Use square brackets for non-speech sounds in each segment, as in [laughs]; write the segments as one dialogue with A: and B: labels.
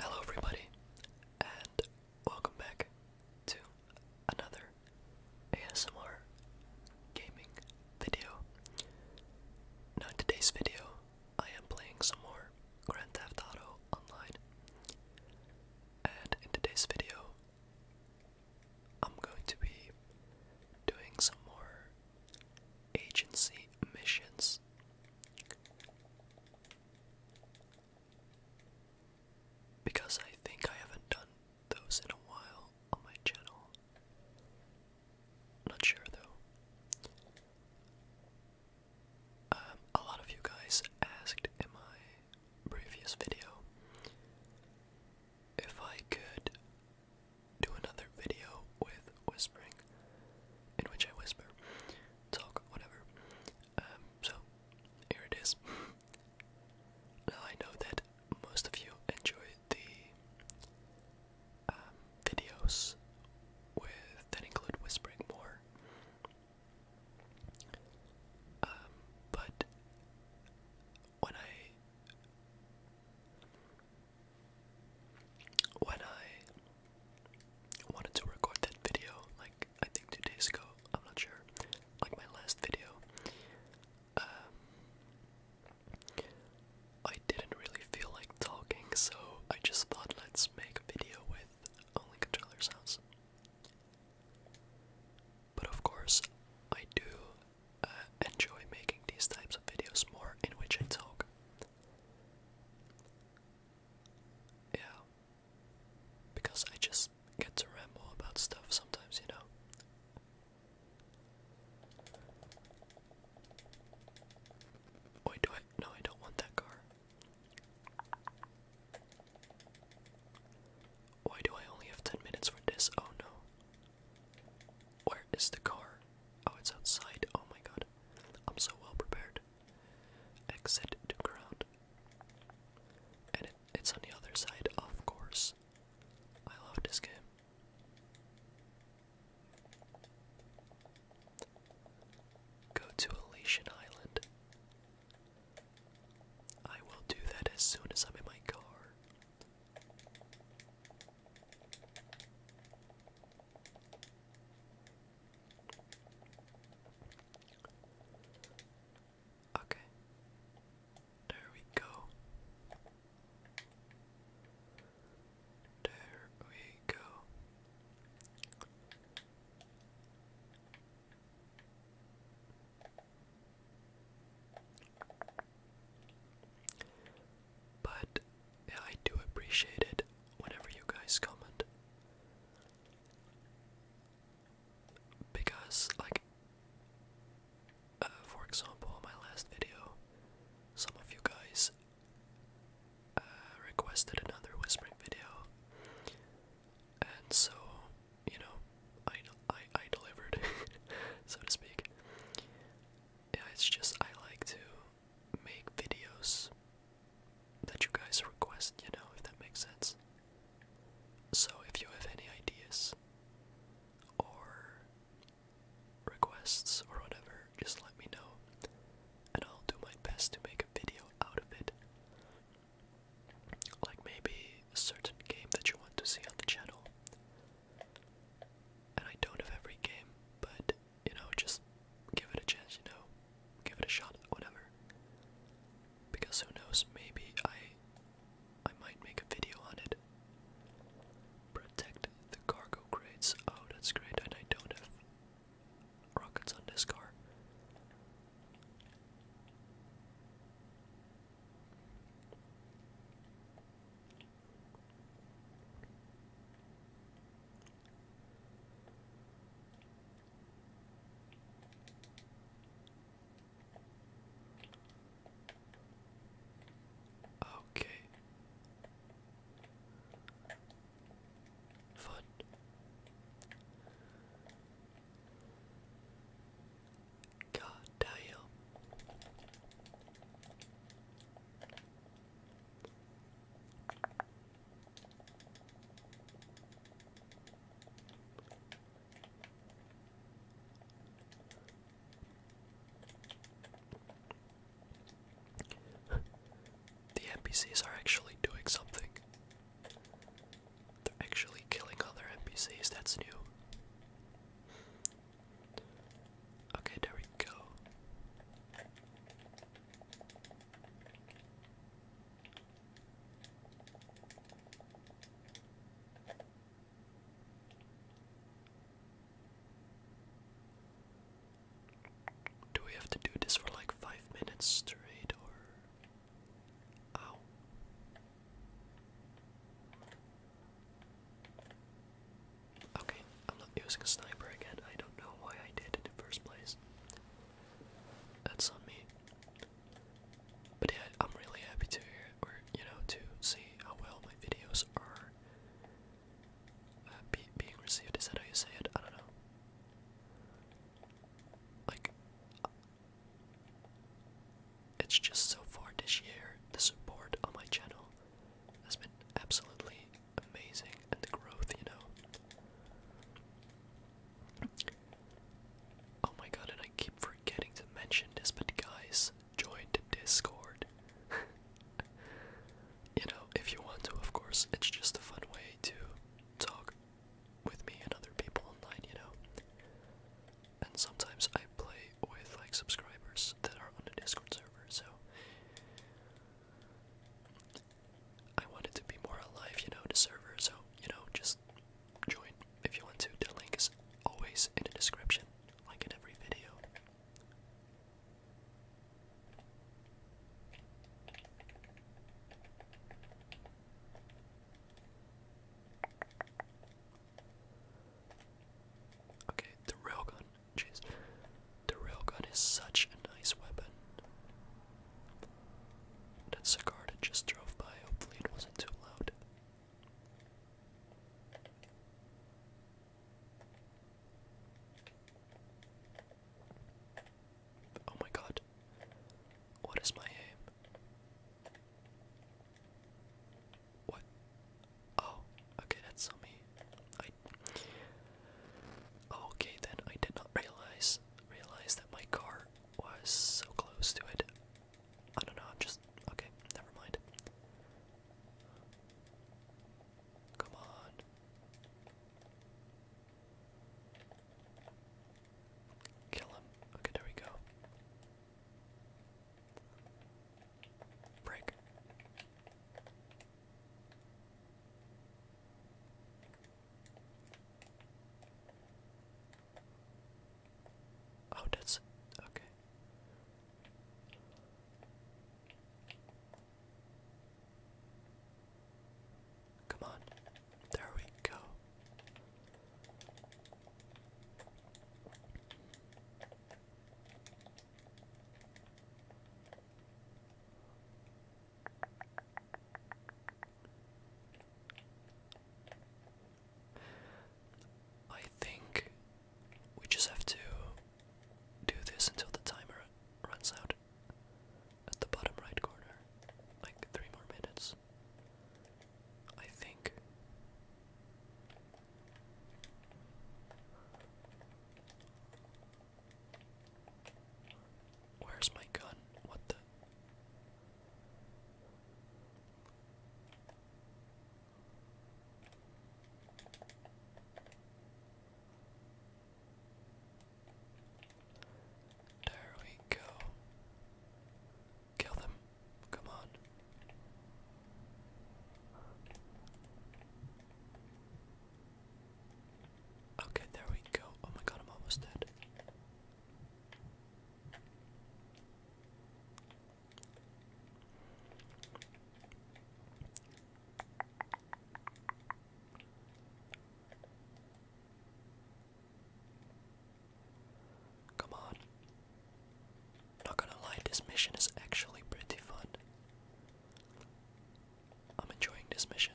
A: Hello, everybody, and welcome back to another ASMR gaming video. Now, today's video, I am playing some more Grand Theft Auto Online, and in today's video, I'm going to be doing some more agency missions because I think I haven't done those in a while on my channel. Not sure though. Um, a lot of you guys asked in my previous video if I could do another video with whispering, in which I whisper talk, whatever. Um, so, here it is. I know that most of you enjoy the um, videos with that include whispering more. Um, but when I when I wanted to record that video, like I think two days ago, I'm not sure, like my last video, um, I didn't really feel like talking, so I just thought let's make a video with only controller sounds. But of course, I do uh, enjoy making these types of videos more in which I talk. Yeah. Because I just get to ramble about stuff sometimes, you know. Wait, do I? No, I don't want that car. Why do I only have 10 minutes for this? Oh no. Where is the car? Oh, it's outside. Oh my god. I'm so well prepared. Exit to ground. And it's on the other side, of course. I love this game. Go to Elation Island. I will do that as soon as I'm in my car. Okay. There we go. There we go. But yeah, I do appreciate it whenever you guys comment. Because, like, uh, for example, my last video, some of you guys uh, requested another whispering video, and so you know, I I I delivered, [laughs] so to speak. Yeah, it's just I like to make videos that you guys request, you know, if that makes sense. So if you have any ideas or requests or whatever, just let me know and I'll do my best to make a video out of it. Like maybe a certain game that you want to see on the channel. And I don't have every game, but you know, just give it a chance, you know, give it a shot, whatever. Because who knows, maybe I I might make a video on it. Protect the cargo crates. Oh, that's great, and I don't have rockets on this car. Okay. Fun. God damn the NPCs are actually doing something. They're actually killing other NPCs, that's new. Okay, there we go. Do we have to do this for like five minutes straight or. Ow. Okay, I'm not using a sniper again. I don't know why I did it in the first place. That's on me. But yeah, I'm really happy to hear or you know to see how well my videos are uh, being received. Is that how you say it? I don't know. Like, it's just so far this year the support on my channel has been absolutely amazing and the growth, you know. Oh my god, and I keep forgetting to mention this, but guys, join Discord. [laughs] you know, if you want to, of course, it's just a fun way to talk with me and other people online, you know. And sometimes I play with like subscribers that are on the Discord server, so I wanted to be more alive, you know, to server, so, you know, just join if you want to. The link is always in the description, like in every video. Okay, the railgun, jeez. The railgun is such a nice weapon. That's a car that just drove by. Hopefully, it wasn't too loud. Oh my god. What is my aim? What? Oh, okay, that's on me. I Okay, then I did not realize realize that my car was so close to it. I don't know. I'm just okay. Never mind. Come on. Kill him. Okay, there we go. Break. Oh, that's okay. Come on. There we go. I think we just have to do this until the timer runs out at the bottom right corner. Like three more minutes. I think. Where's my gun? What the? There we go. Kill them. Come on. Okay, there we go. Oh my god, I'm almost dead. Come on. Not gonna lie, this mission is actually pretty fun. I'm enjoying this mission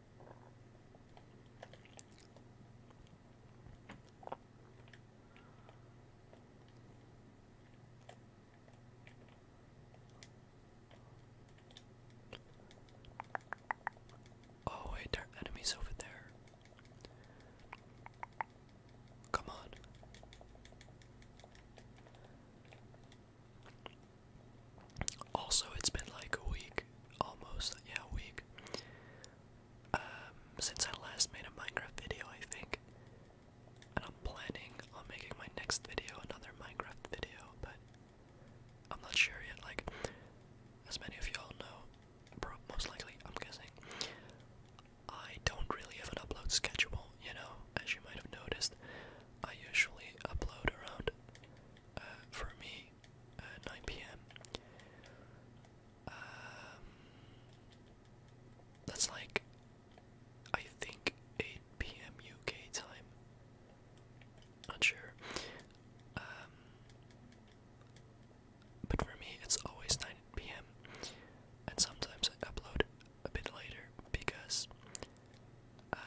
A: Oh, wait, our enemy's over there. Come on. Also, it's been like a week, almost, yeah, a week, um, since I last made a Minecraft video, I think. And I'm planning on making my next video another Minecraft video, but I'm not sure yet. Like, as many of you all know, most likely, I'm guessing, I don't really have an upload schedule, you know, as you might have noticed. I usually upload around, uh, for me, uh, 9 pm. Um, that's like, I think 8 p.m. UK time. Not sure. Um, but for me, it's always 9 p.m. And sometimes I upload a bit later because um,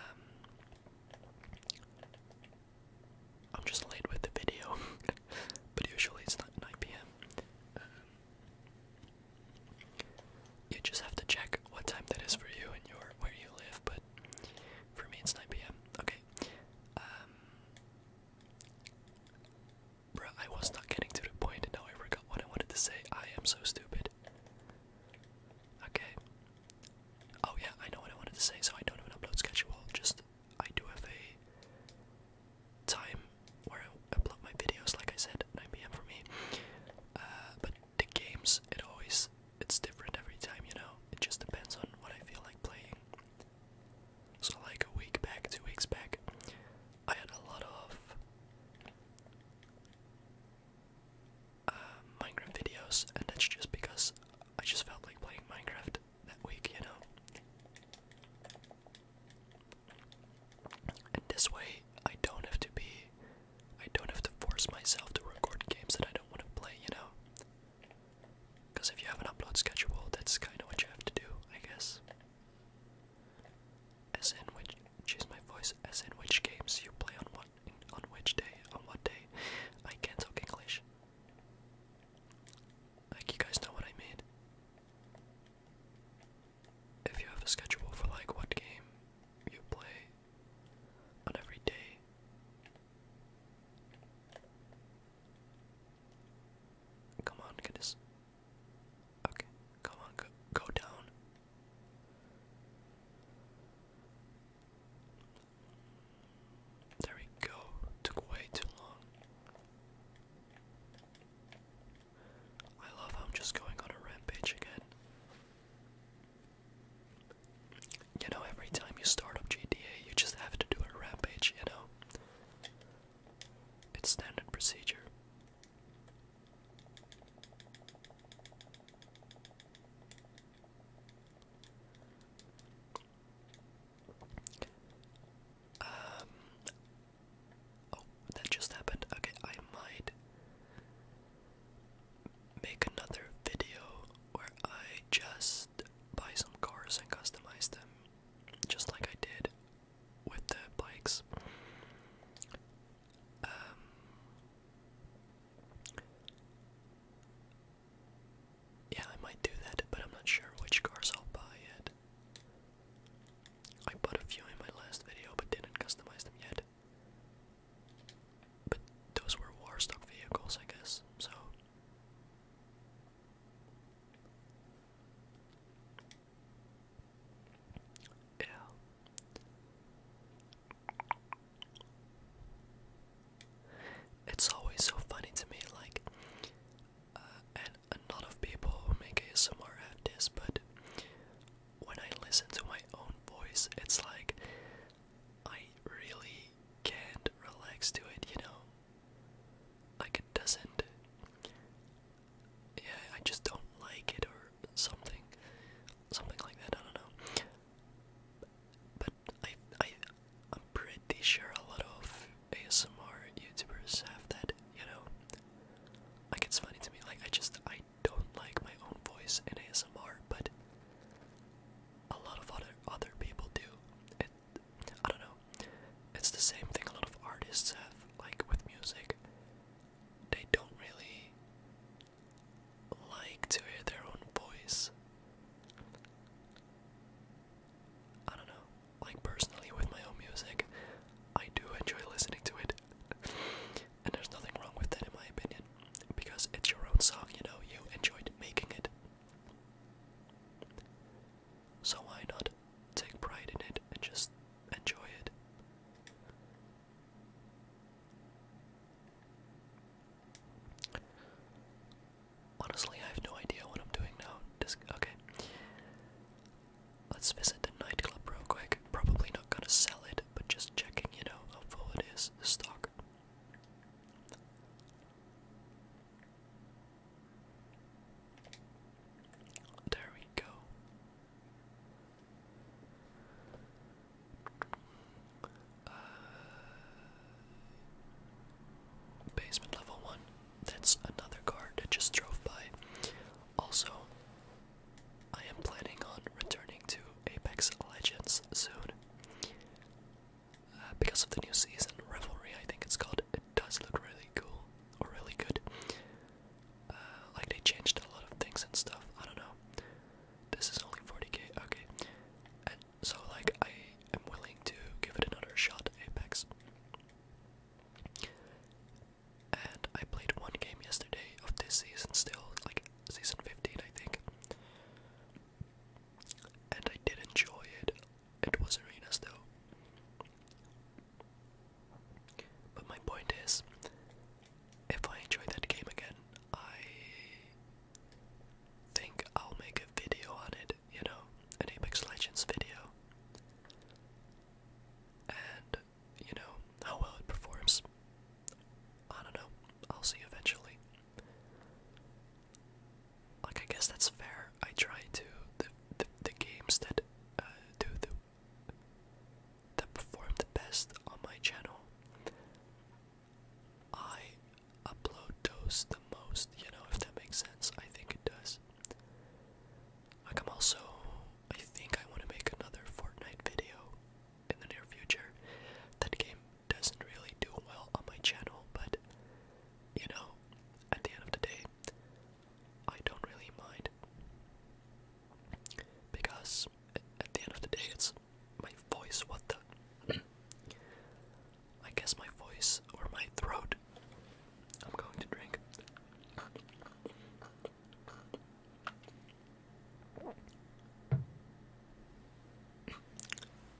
A: I'm just late with the video, [laughs] but usually it's not 9 p.m. Um, you just have to check what time that is for you and your where you live, but for me it's 9 p.m. Okay. Um, I was not getting to the point and now I forgot what I wanted to say. I am so stupid. Okay. Oh yeah, I know what I wanted to say, so I don't even upload schedule, just I do have a time where I upload my videos, like I said, 9 p.m. for me. Uh, but the games, it always, it's different every time, you know? It just depends on what I feel like playing. So, like a week back, two weeks back, I had a lot of uh, Minecraft videos, and that's just because I just felt like playing Minecraft that week, you know. And this way, I don't have to be, I don't have to force myself to record games that I don't want to play, you know. Because if you have an upload schedule, that's kind of what you have to do, I guess. As in which, choose my voice, as in which games you play on what, on which day, on what day. I can't talk English. Like, you guys know what I mean. If you have a schedule for, like, what game you play on every day. Come on, get Okay, come on, go, go down. There we go. Took way too long. I love how I'm just going on a rampage again. You know, every time you start up GTA, you just have to do a rampage, you know? It's standard procedure. Um. Oh, that just happened. Okay, I might make another video where I just buy some cars and customize them, just like I did with the bikes. Um, yeah, I might do that, but I'm not sure which cars I'll buy yet. I bought a few in my last video, but didn't customize them yet. But those were war vehicles, I guess, so. Yeah. It's always so funny to me, like, and a lot of people who make ASMR have this, but when I listen to my own voice, it's like I really can't relax to it, you know? Like it doesn't. Yeah, I just don't like it or something. Something like that, I don't know. But I, I, I'm pretty sure a lot of ASMR YouTubers have that, you know. Like it's funny to me, like I just I don't like my own voice in ASMR, but a lot of other other people do. It I don't know. It's the same thing a lot of artists have, like with music. They don't really like to hear their own voice. I don't know. Like personally with my own music, I do enjoy listening to it. and there's nothing wrong with that in my opinion. Because it's your own song, you know, you enjoyed making it. So why not take pride in it and just enjoy it? Honestly, I have no idea what I'm doing now. Just, okay. Let's visit the nightclub real quick. Probably not gonna sell it, but just checking, you know, how full it is, the stock. There we go. Uh, basement level one. That's another car that just drove by. Also, I am planning on returning to Apex Legends soon. Uh, because of the new season, Revelry, I think it's called, it does look really cool, or really good. Uh, like they changed a lot of things and stuff, I don't know. This is only 40k, okay. And so like, I am willing to give it another shot, Apex. And I played one game yesterday of this season still, like season 15, I think. And I did enjoy it. It was arenas though. But my point is, if I enjoy that game again, I think I'll make a video on it you know, an Apex Legends video. And, you know, how well it performs. I don't know. I'll see eventually. Like, I guess that's fair. I try to. The, the, games that uh, do the. that perform the best on my channel, I upload those the most, you know, if that makes sense. I think it does. I'm also, I think I want to make another Fortnite video in the near future. That game doesn't really do well on my channel, but you know, at the end of the day, I don't really mind. Because at the end of the day, it's my voice, what the. [clears throat] I guess my voice or my throat. I'm going to drink.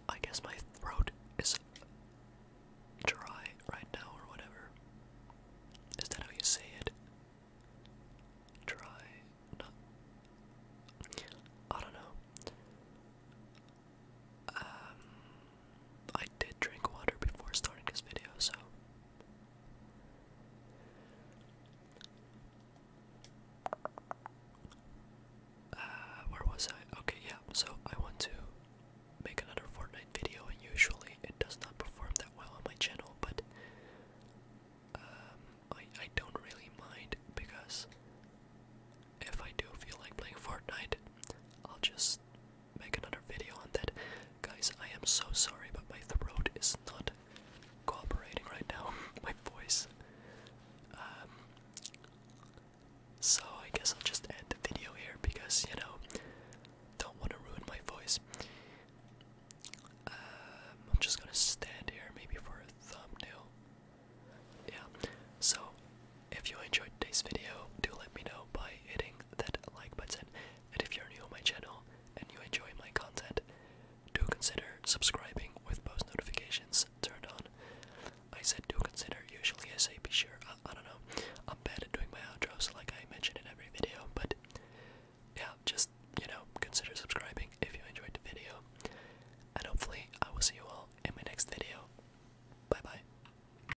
A: I guess my throat is dry right now or whatever. Is that how you say it? Dry. No. I don't know. Um I did drink water before starting this video, so. Uh, where was I? Okay, yeah, so I want to make another Fortnite video, and usually it does not perform that well on my channel, but um, I, I don't really mind because if I do feel like playing Fortnite, I'll just make another video on that. Guys, I am so sorry, but my throat is not cooperating right now. [laughs] my voice. Um, so I guess I'll just end the video here because you know, don't want to ruin my voice. Um, I'm just gonna stand here maybe for a thumbnail. Yeah. So if you enjoyed today's video, do let me know by hitting that like button. And if you're new on my channel and you enjoy my content, do consider subscribing with post notifications turned on. I said do consider, usually I say be sure, I, I don't know. I'm bad at doing my outros like I mentioned in every video, but yeah, just, you know, consider subscribing if you enjoyed the video. And hopefully I will see you all in my next video. Bye bye.